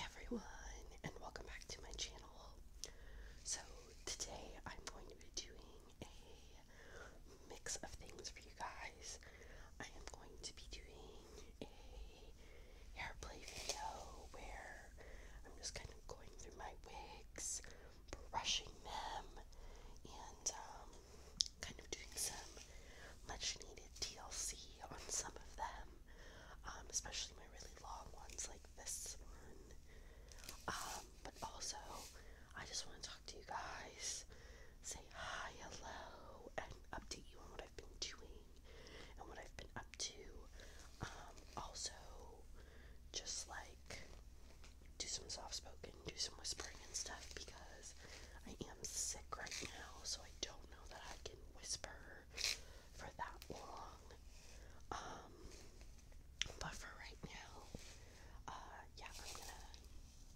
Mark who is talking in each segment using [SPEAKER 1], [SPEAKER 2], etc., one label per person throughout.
[SPEAKER 1] everyone and welcome back to my channel. So today I'm going to be doing a mix of things for you guys. I am going to be doing a hair video where I'm just kind of going through my wigs, brushing them, and um, kind of doing some much needed TLC on some of them um, especially my really long ones like this one. Um, but also, I just want to talk to you guys, say hi, hello, and update you on what I've been doing and what I've been up to. Um, also, just like do some soft spoken, do some whispering and stuff because I am sick right now, so I don't know that I can whisper for that long. Um, but for right now, uh, yeah, I'm gonna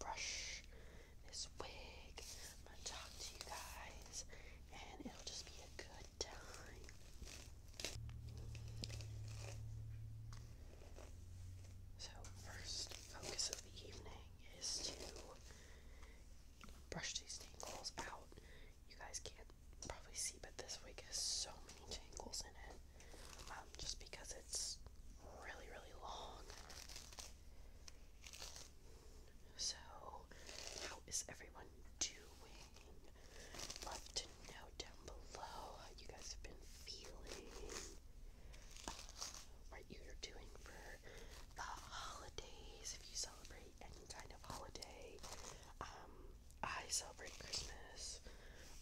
[SPEAKER 1] brush this wig. I'm gonna talk to you guys, and it'll just be a good time. So, first focus of the evening is to brush these tangles out you guys can't probably see, but this wig has so many tangles in it, um, just because it's really, really long. So, how is everyone doing? Love to know down below how you guys have been feeling. what you're doing for the holidays if you celebrate any kind of holiday. Um, I celebrate Christmas.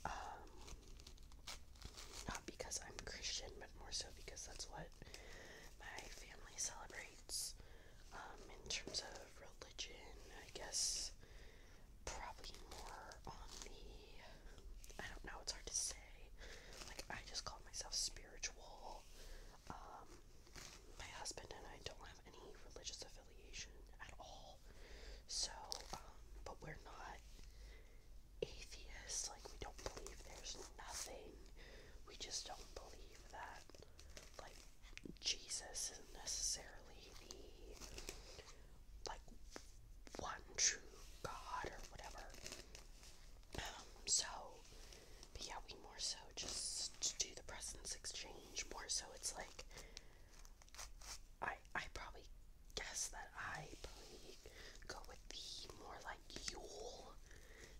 [SPEAKER 1] Um, not because I'm Christian, but more so because that's what my family celebrates. Um, in terms of religion, I guess probably more on the I don't know, it's hard to say. Like I just call myself spiritual. Um, my husband and I don't have any religious affiliation at all. So, um, but we're not atheists. Like, we don't believe there's nothing. We just don't believe that, like, Jesus isn't necessarily the, like, one true God or whatever. Um, so, but yeah, we more so just do the presents exchange. More so, it's like I I probably guess that I probably go with the more like Yule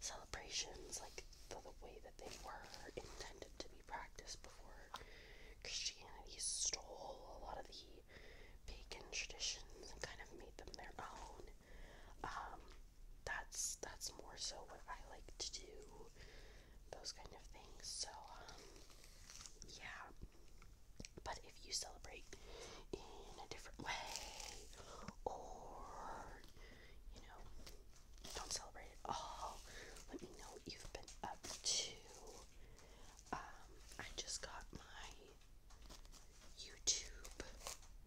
[SPEAKER 1] celebrations, like the, way that they were intended to be practiced before Christianity stole a lot of the pagan traditions and kind of made them their own. Um, that's that's more so what I like to do, those kind of things. So um, yeah. But if you celebrate in a different way, or you know, don't celebrate all, let me know what you've been up to. Um, I just got my YouTube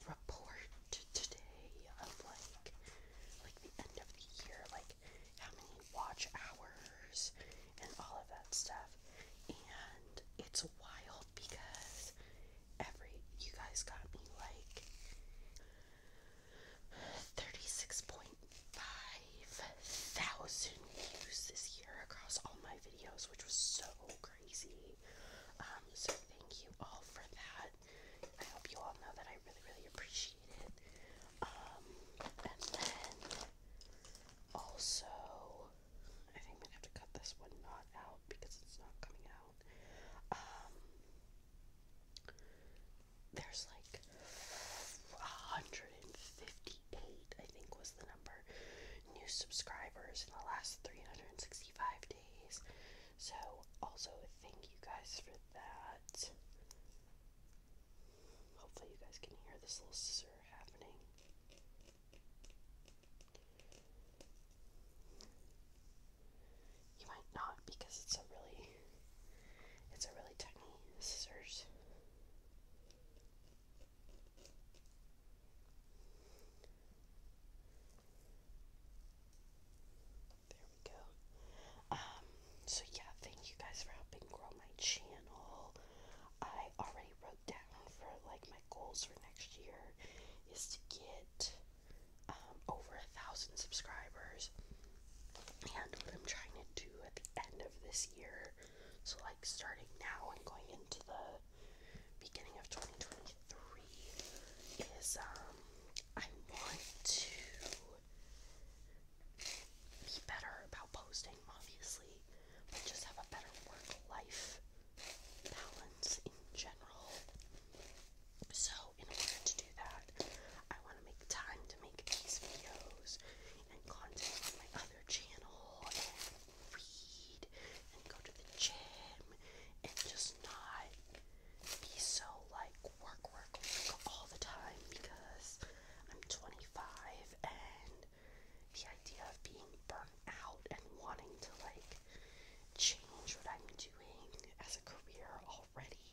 [SPEAKER 1] report today of like like the end of the year, like how many watch hours and all of that stuff. And it's wild because every you guys got me like 36.5 thousand views this year across all my videos, which was so crazy. Um, so thank you all for that. I hope you all know that I really, really appreciate it. Um, and then also, I think I'm gonna have to cut this one knot out because it's not coming out. Um, there's like 158, I think was the number, new subscribers in the last 365 days. So, also, thank you guys for with that. Hopefully, you guys can hear this little scissor happening. You might not because it's a really it's a really tiny scissors. There we go. Um, so yeah, thank you guys for helping grow my channel. I already wrote down for like my goals for next year is to get um, over a thousand subscribers. And what I'm trying to do at the end of this year, so like starting now and going into the beginning of 2023, is um I want to be better about posting, obviously, but just have a better work life balance in general. So, in order to do that, I want to make time to make these videos and content on my other channel and read and go to the gym and just not be so like work, work, work all the time because I'm 25 and the idea of being burnt out and wanting to like change what I'm doing as a career already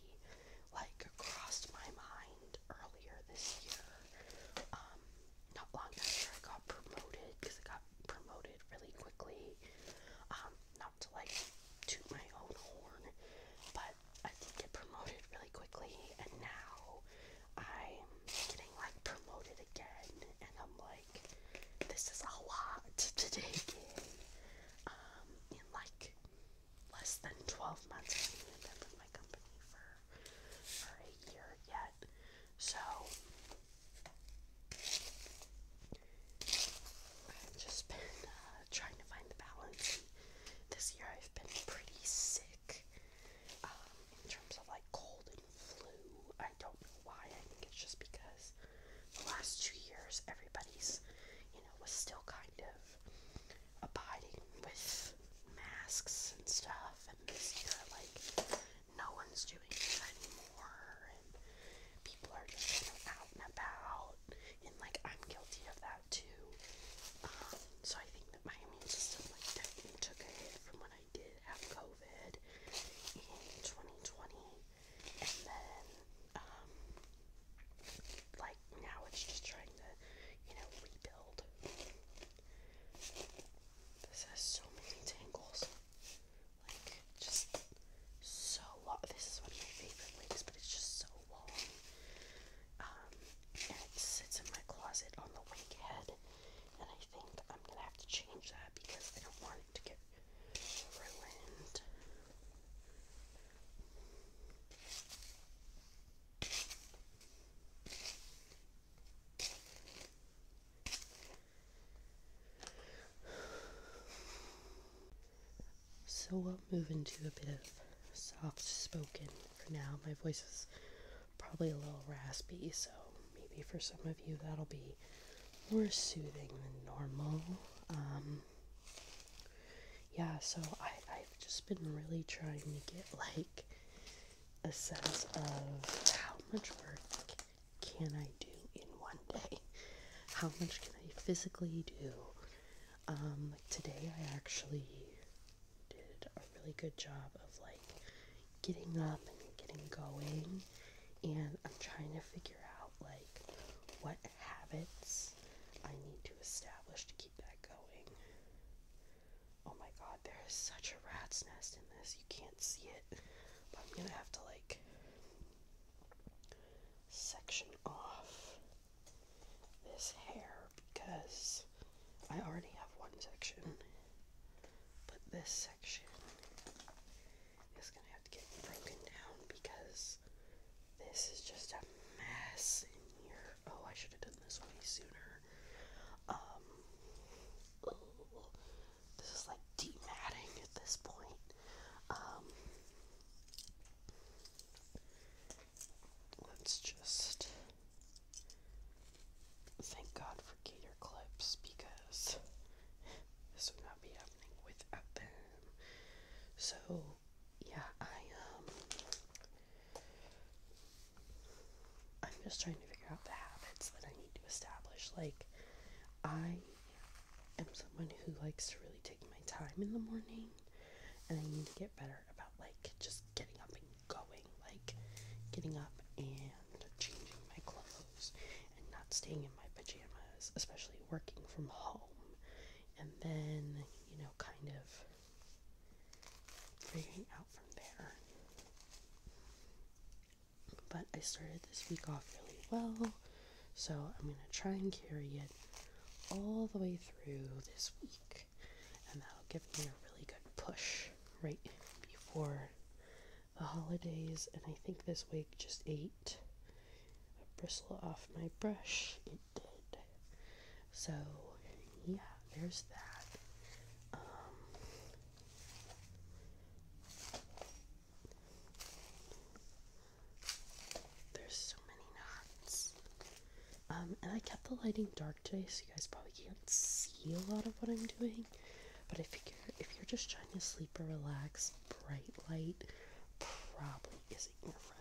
[SPEAKER 1] like crossed my mind earlier this year. Um, not long after I got promoted because I got promoted really quickly. Um, not to like toot my own horn, but I did get promoted really quickly, and now I'm getting like promoted again, and I'm like, this is a lot to take in. Um, in like less than 12 months, I haven't even been with my company for for a year yet, so I've just been uh, trying to find the balance. This year I've been pretty sick um, in terms of like cold and flu. I don't know why. I think it's just because the last two years everybody's, you know, was still kind of abiding with masks and stuff. And this year, like, no one's doing that anymore. And people are just kind of out and about out. And like I'm guilty of that too. Um, so I think that my immune system like definitely took a hit from when I did have COVID in 2020. And then um like now it's just trying to, you know, rebuild. This has so many tangles. Like just so long. This is one of my favorite wigs, but it's just so long. Um, and it sits in my closet on the wig and I think I'm gonna have to change that because I don't want it to get ruined. So we'll uh, move into a bit of soft spoken for now. My voice is probably a little raspy, so maybe for some of you that'll be more soothing than normal. Um, yeah, so I, I've just been really trying to get like a sense of how much work can I do in one day? How much can I physically do? Um, like today I actually did a really good job of like getting up and getting going and I'm trying to figure out like what habits I need to establish to keep that going. Oh my god, there is such a rat's nest in this. You can't see it. But I'm gonna have to like section off this hair because I already have one section, but this section is gonna have to get broken down because this is just a mess in here. Oh, I should have done this way sooner. Um, this is like deep matting at this point. Um, Let's just thank God for gator clips because this would not be happening without them. So, yeah, I um I'm just trying to figure out the habits that I need to establish. Like I i am someone who likes to really take my time in the morning and I need to get better about like just getting up and going, like getting up and changing my clothes and not staying in my pajamas, especially working from home. And then, you know, kind of figuring out from there. But I started this week off really well. So I'm going to try and carry it all the way through this week, and that'll give me a really good push right before the holidays. And I think this week just ate a bristle off my brush. It did. So yeah, there's that. Um, there's so many knots. Um, and I kept the lighting dark today, so you guys probably can't see a lot of what I'm doing. But I figure if you're just trying to sleep or relax, bright light probably isn't your friend.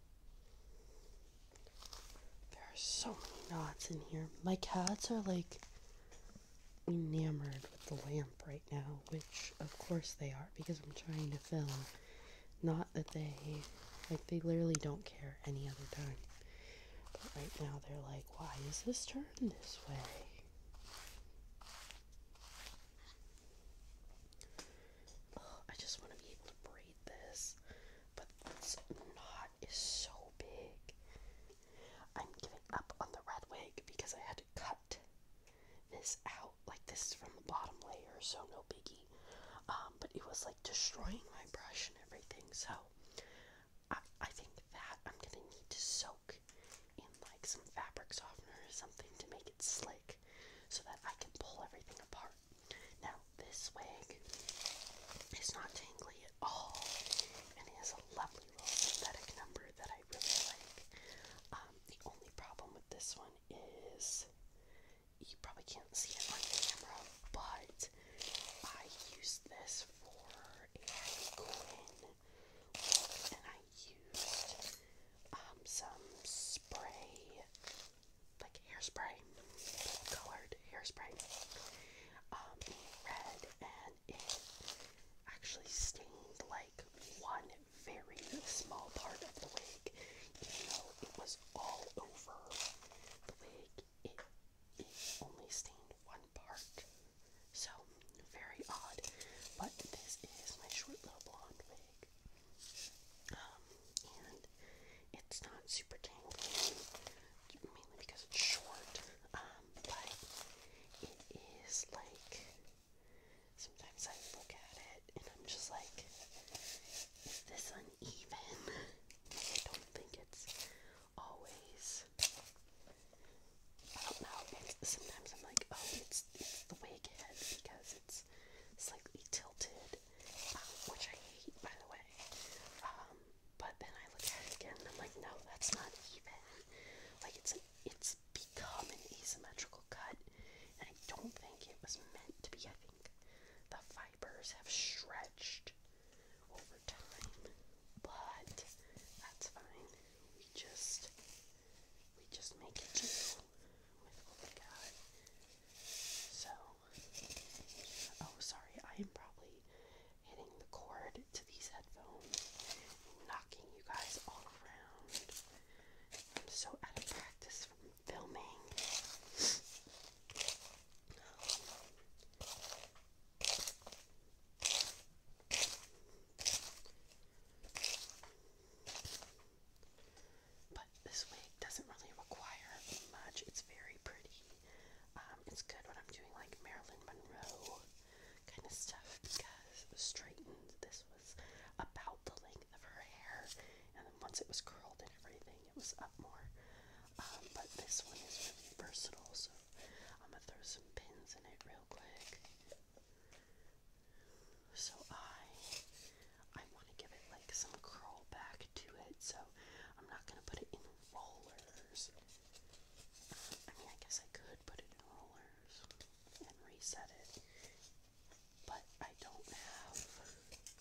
[SPEAKER 1] There are so many knots in here. My cats are like enamored with the lamp right now, which of course they are because I'm trying to film. Not that they, like, they literally don't care any other time. But right now they're like, why is this turned this way? I just want to be able to braid this, but this knot is so big. I'm giving up on the red wig because I had to cut this out. Like this from the bottom layer, so no biggie. Um, but it was like destroying my brush and everything. So I think that I'm gonna need to soak in like some fabric softener or something to make it slick, so that I can pull everything apart. Now, this wig is not tangly at all, and it has a lovely little synthetic number that I really like. Um, the only problem with this one is you probably can't see it on the camera, but I used this for a Quinn and I used um, some spray like hairspray, colored hairspray, um, red, and it actually stained like one very small part of the wig, even though it was all over the wig. It it only stained one part, so very odd. But this is my short little blonde wig. Um, it's not super tangly, mainly because it's short. Um, but it is like sometimes I look at it and I'm just like, is this uneven? I don't think it's always. I don't know. It's, sometimes I'm like, oh, it's, it's the wig head because it's slightly tilted which I hate, by the way. Um, but then I look at it again I'm like, no, that's not even. Like it's it's become an asymmetrical cut, and I don't think it was meant to be. I think the fibers have stretched over time, but that's fine. We just we just make do with what we got. So Oh, sorry, I am probably hitting the cord to these headphones, knocking you guys all around. I'm so out of practice from filming this wig doesn't really require much. It's very pretty. Um, it's good when I'm doing like Marilyn Monroe kind of stuff because straightened, this was about the length of her hair. And then once it was curled and everything, it was up more. Um, but this one is really versatile, so I'm gonna throw some pins in it real quick. So I I want to give it like some curl back to it, so I'm not going to put it in rollers. I mean, I guess I could put it in rollers and reset it, but I don't have,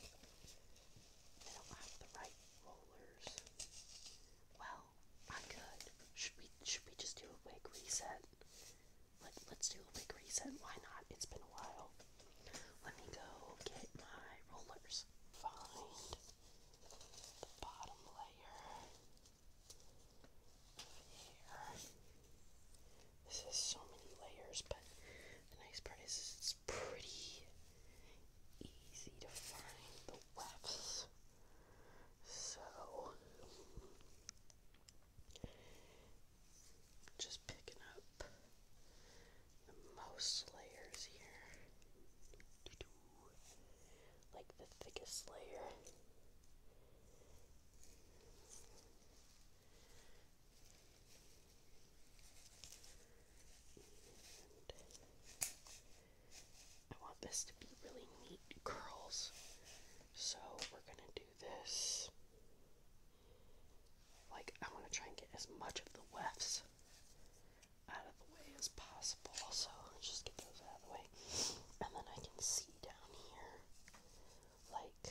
[SPEAKER 1] I don't have the right rollers. Well, I could. Should we, should we just do a big reset? Let, let's do a quick reset. Why not? It's been a while. Let me go get my rollers. Find the bottom layer This has so many layers, but the nice part is it's pretty easy to find the wefts. So just picking up most layers here. Like the thickest layer. I want this to be really neat curls. So we're gonna do this. Like, I want to try and get as much of the wefts out of the way as possible. So let's just get those out of the way. And then I can see down here like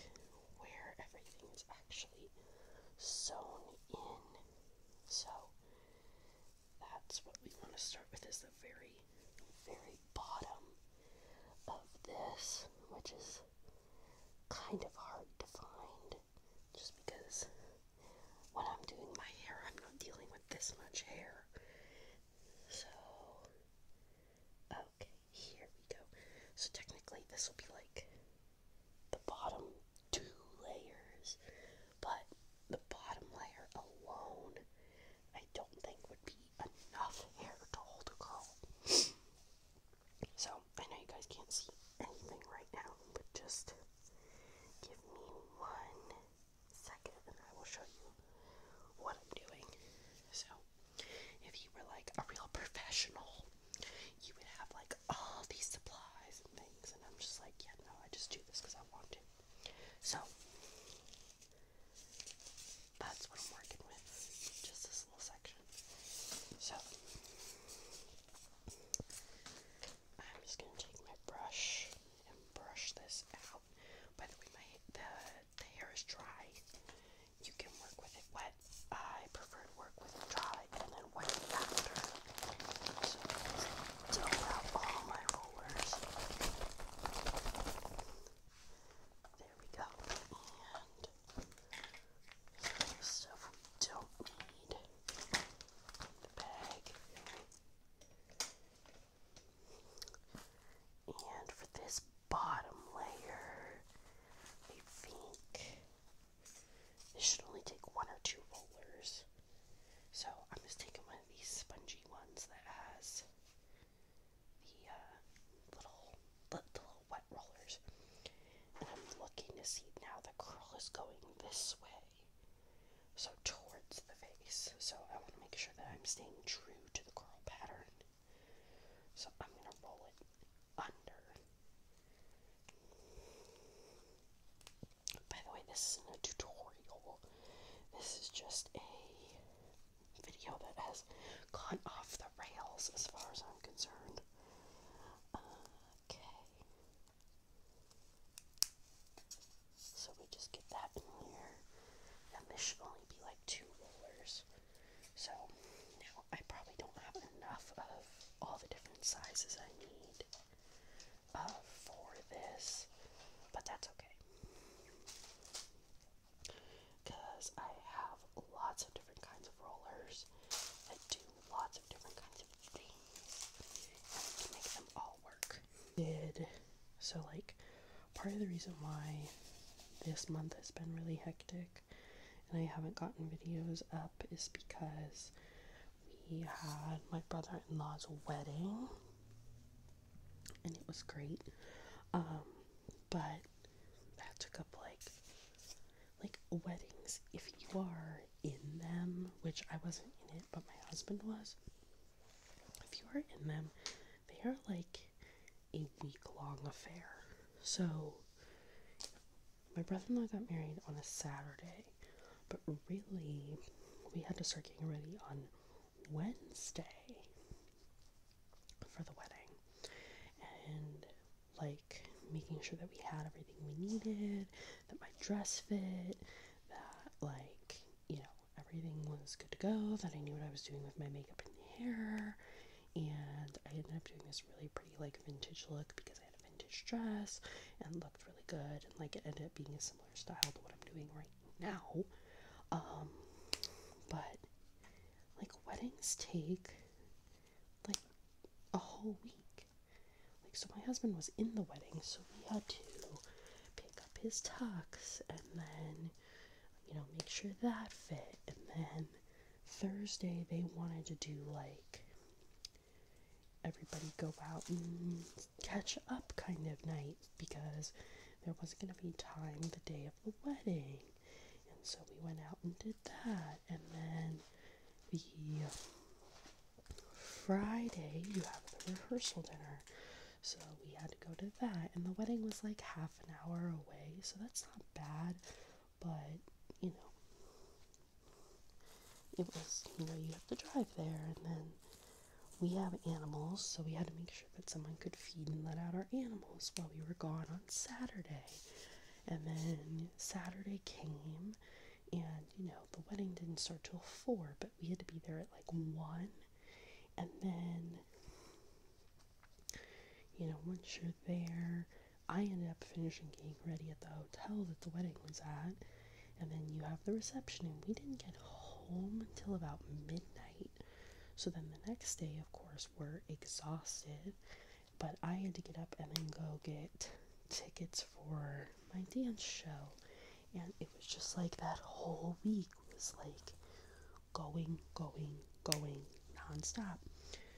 [SPEAKER 1] where everything is actually sewn in. So that's what we want to start with is the very very bottom of this, which is kind of hard to find just because when I'm doing my hair, I'm not dealing with this much hair. So, okay, here we go. So, technically, this will be like the bottom two layers, but the bottom layer alone, I don't think would be enough hair to hold a curl. So, I know you guys can't see anything right now, but just give me one second and I will show you what I'm doing. So, if you were like a real professional, you would have like all these supplies and things, and I'm just like, yeah, no, I just do this because I want to. So, that's what I'm working with, just this little section. So, I'm just gonna take my brush and brush this out. By the way, my the hair is dry. You can work with it wet. I prefer to work with dry and then wet it after. So out all my rollers. There we go. And stuff we don't need. And for this bottom layer, I think this should only take one or two rollers. So I'm just taking one of these spongy ones that has the uh, little, the little wet rollers. And I'm looking to see now the curl is going this way. So towards the face. So I want to make sure that I'm staying true to the curl pattern. So I'm going to roll it under. By the way, this isn't a tutorial. This is just a video that has gone off the rails as far as I'm concerned. Okay. So we just get that in here. And this should only be like two rollers. So now I probably don't have enough of all the different sizes I need uh, for this, but that's okay. Because I have lots of different kinds of rollers that do lots of different kinds of things to make them all work. Did so like part of the reason why this month has been really hectic and I haven't gotten videos up is because we had my brother-in-law's wedding and it was great. Um, but that took up like like weddings if you are in them, which I wasn't in it, but my husband was. If you are in them, they are like a week long affair. So my brother in law got married on a Saturday, but really we had to start getting ready on Wednesday for the wedding. And like making sure that we had everything we needed, that my dress fit, that like, you know, everything was good to go, that I knew what I was doing with my makeup and hair. And I ended up doing this really pretty like vintage look because I had a vintage dress and looked really good and like it ended up being a similar style to what I'm doing right now. Um but like weddings take like a whole week. Like, so my husband was in the wedding, so we had to pick up his tux and then, you know, make sure that fit. And then Thursday, they wanted to do like everybody go out and catch up kind of night because there wasn't going to be time the day of the wedding. And so we went out and did that. And then the Friday, you have the rehearsal dinner. So we had to go to that. And the wedding was like half an hour away. So that's not bad. But, you know, it was, you know, you have to drive there. And then we have animals. So we had to make sure that someone could feed and let out our animals while we were gone on Saturday. And then Saturday came and you know the wedding didn't start till four but we had to be there at like one and then you know once you're there i ended up finishing getting ready at the hotel that the wedding was at and then you have the reception and we didn't get home until about midnight so then the next day of course we're exhausted but I had to get up and then go get tickets for my dance show. And it was just like that whole week was like going, going, going nonstop.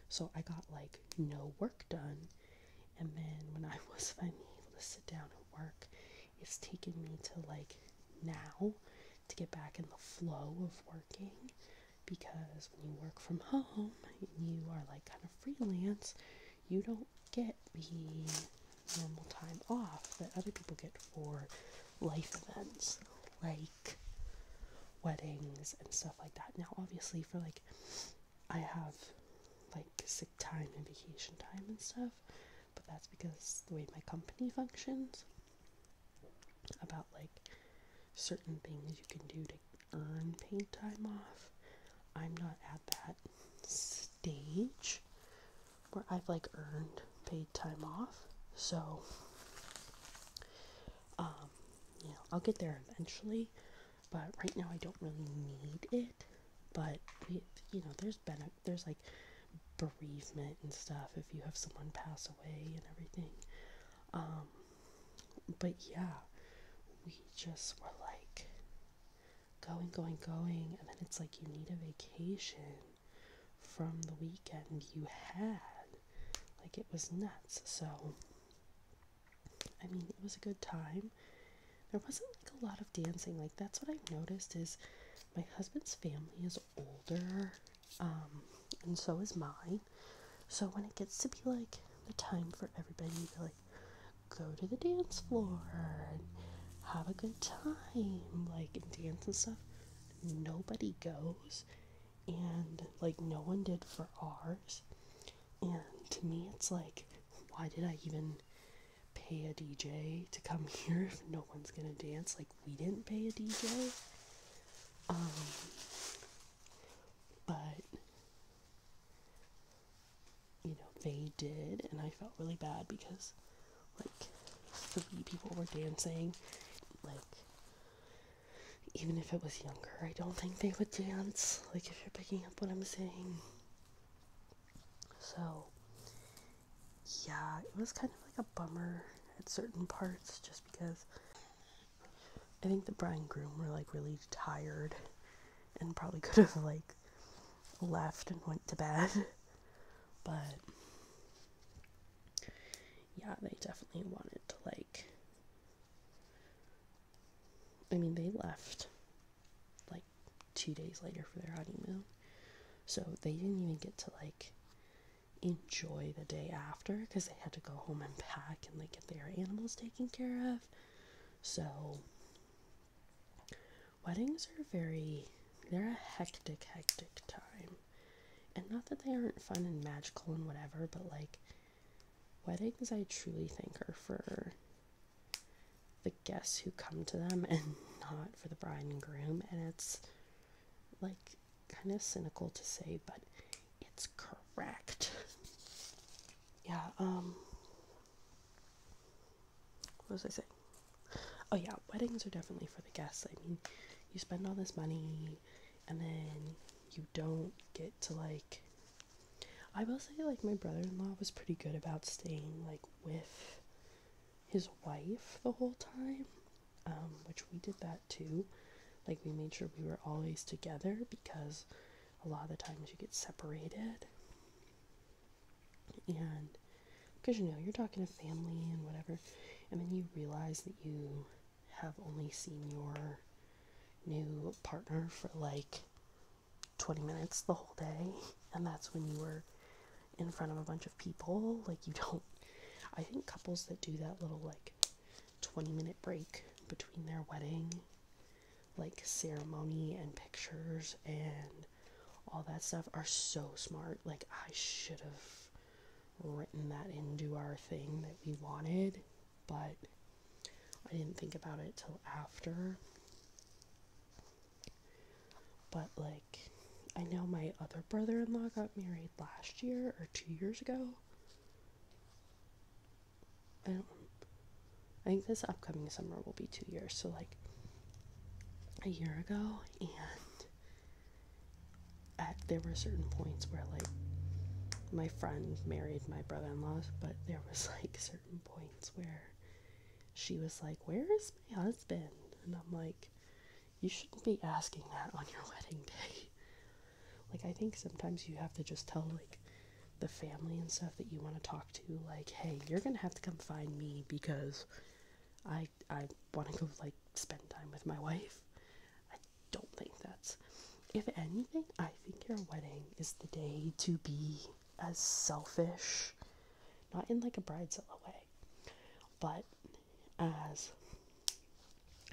[SPEAKER 1] So I got like no work done. And then when I was finally able to sit down and work, it's taken me to like now to get back in the flow of working because when you work from home and you are like kind of freelance, you don't get the normal time off that other people get for life events like weddings and stuff like that. Now, obviously, for like, I have like sick time and vacation time and stuff, but that's because the way my company functions about like certain things you can do to earn paid time off. I'm not at that stage where I've like earned paid time off. So, um, you know, I'll get there eventually, but right now I don't really need it. But you know, there's been there's like bereavement and stuff if you have someone pass away and everything. Um, but yeah, we just were like going, going, going, and then it's like you need a vacation from the weekend you had. Like it was nuts. So, I mean, it was a good time. There wasn't like a lot of dancing. Like that's what i noticed is my husband's family is older, um, and so is mine. So when it gets to be like the time for everybody to be go to the dance floor and have a good time, like and dance and stuff. Nobody goes, and like no one did for ours. And to me, it's like, why did I even pay a DJ to come here if no one's gonna dance? Like, we didn't pay a DJ. Um, but you know, they did, and I felt really bad because, like, three people were dancing. Like, even if it was younger, I don't think they would dance. Like, if you're picking up what I'm saying. So, yeah, it was kind of like a bummer at certain parts just because I think the bride and groom were like really tired and probably could have like left and went to bed. But yeah, they definitely wanted to like I mean, they left like 2 days later for their honeymoon. So they didn't even get to like enjoy the day after because they had to go home and pack and like get their animals taken care of so, weddings are very, they're a hectic, hectic time. And not that they aren't fun and magical and whatever, but like, weddings I truly think are for the guests who come to them and not for the bride and groom. And it's like kind of cynical to say, but it's correct. Yeah, um, what was I saying? Oh yeah, weddings are definitely for the guests. I mean, you spend all this money and then you don't get to like I will say like my brother-in-law was pretty good about staying like with his wife the whole time. Um, which we did that too. Like we made sure we were always together because a lot of the times you get separated and because you know you're talking to family and whatever and then you realize that you have only seen your new partner for like 20 minutes the whole day and that's when you were in front of a bunch of people like you don't i think couples that do that little like 20 minute break between their wedding like ceremony and pictures and all that stuff are so smart. Like, I should have written that into our thing that we wanted, but I didn't think about it till after. But, like, I know my other brother in law got married last year or two years ago. I don't. I think this upcoming summer will be two years. So like a year ago, and at, there were certain points where like my friend married my brother-in-law, but there was like certain points where she was like, "Where is my husband?" And I'm like, "You shouldn't be asking that on your wedding day." like I think sometimes you have to just tell like the family and stuff that you want to talk to like hey you're gonna have to come find me because i i want to go like spend time with my wife i don't think that's if anything i think your wedding is the day to be as selfish not in like a bridezilla way but as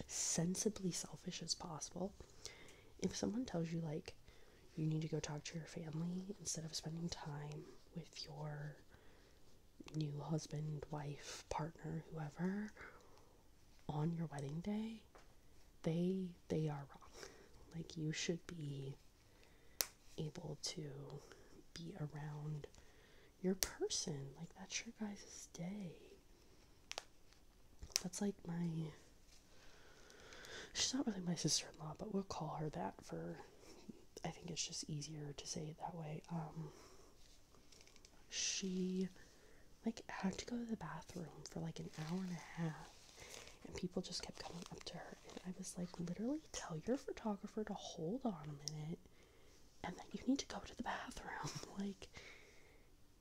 [SPEAKER 1] sensibly selfish as possible if someone tells you like you need to go talk to your family instead of spending time with your new husband, wife, partner, whoever on your wedding day. They they are wrong. Like you should be able to be around your person. Like that's your guys' day. That's like my She's not really my sister in law, but we'll call her that for. I think it's just easier to say it that way. Um, she, like, had to go to the bathroom for like an hour and a half, and people just kept coming up to her. And I was like, literally, tell your photographer to hold on a minute, and that you need to go to the bathroom. like,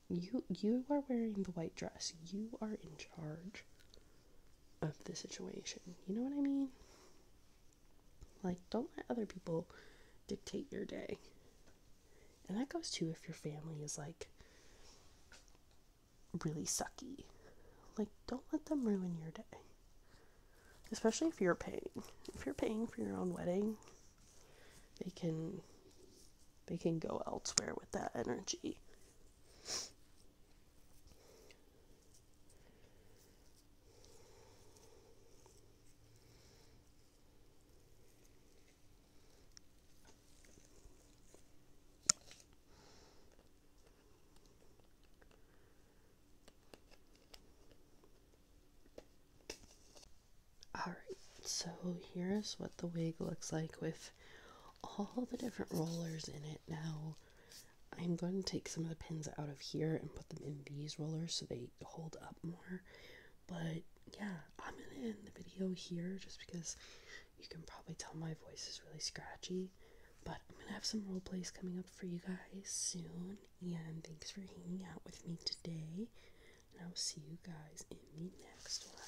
[SPEAKER 1] you you are wearing the white dress. You are in charge of the situation. You know what I mean? Like, don't let other people dictate your day. And that goes too if your family is like really sucky. Like, don't let them ruin your day. Especially if you're paying. If you're paying for your own wedding, they can they can go elsewhere with that energy Alright, so here's what the wig looks like with all the different rollers in it now. I'm going to take some of the pins out of here and put them in these rollers so they hold up more. But yeah, I'm gonna end the video here just because you can probably tell my voice is really scratchy. But I'm gonna have some role plays coming up for you guys soon. And thanks for hanging out with me today. And I'll see you guys in the next one.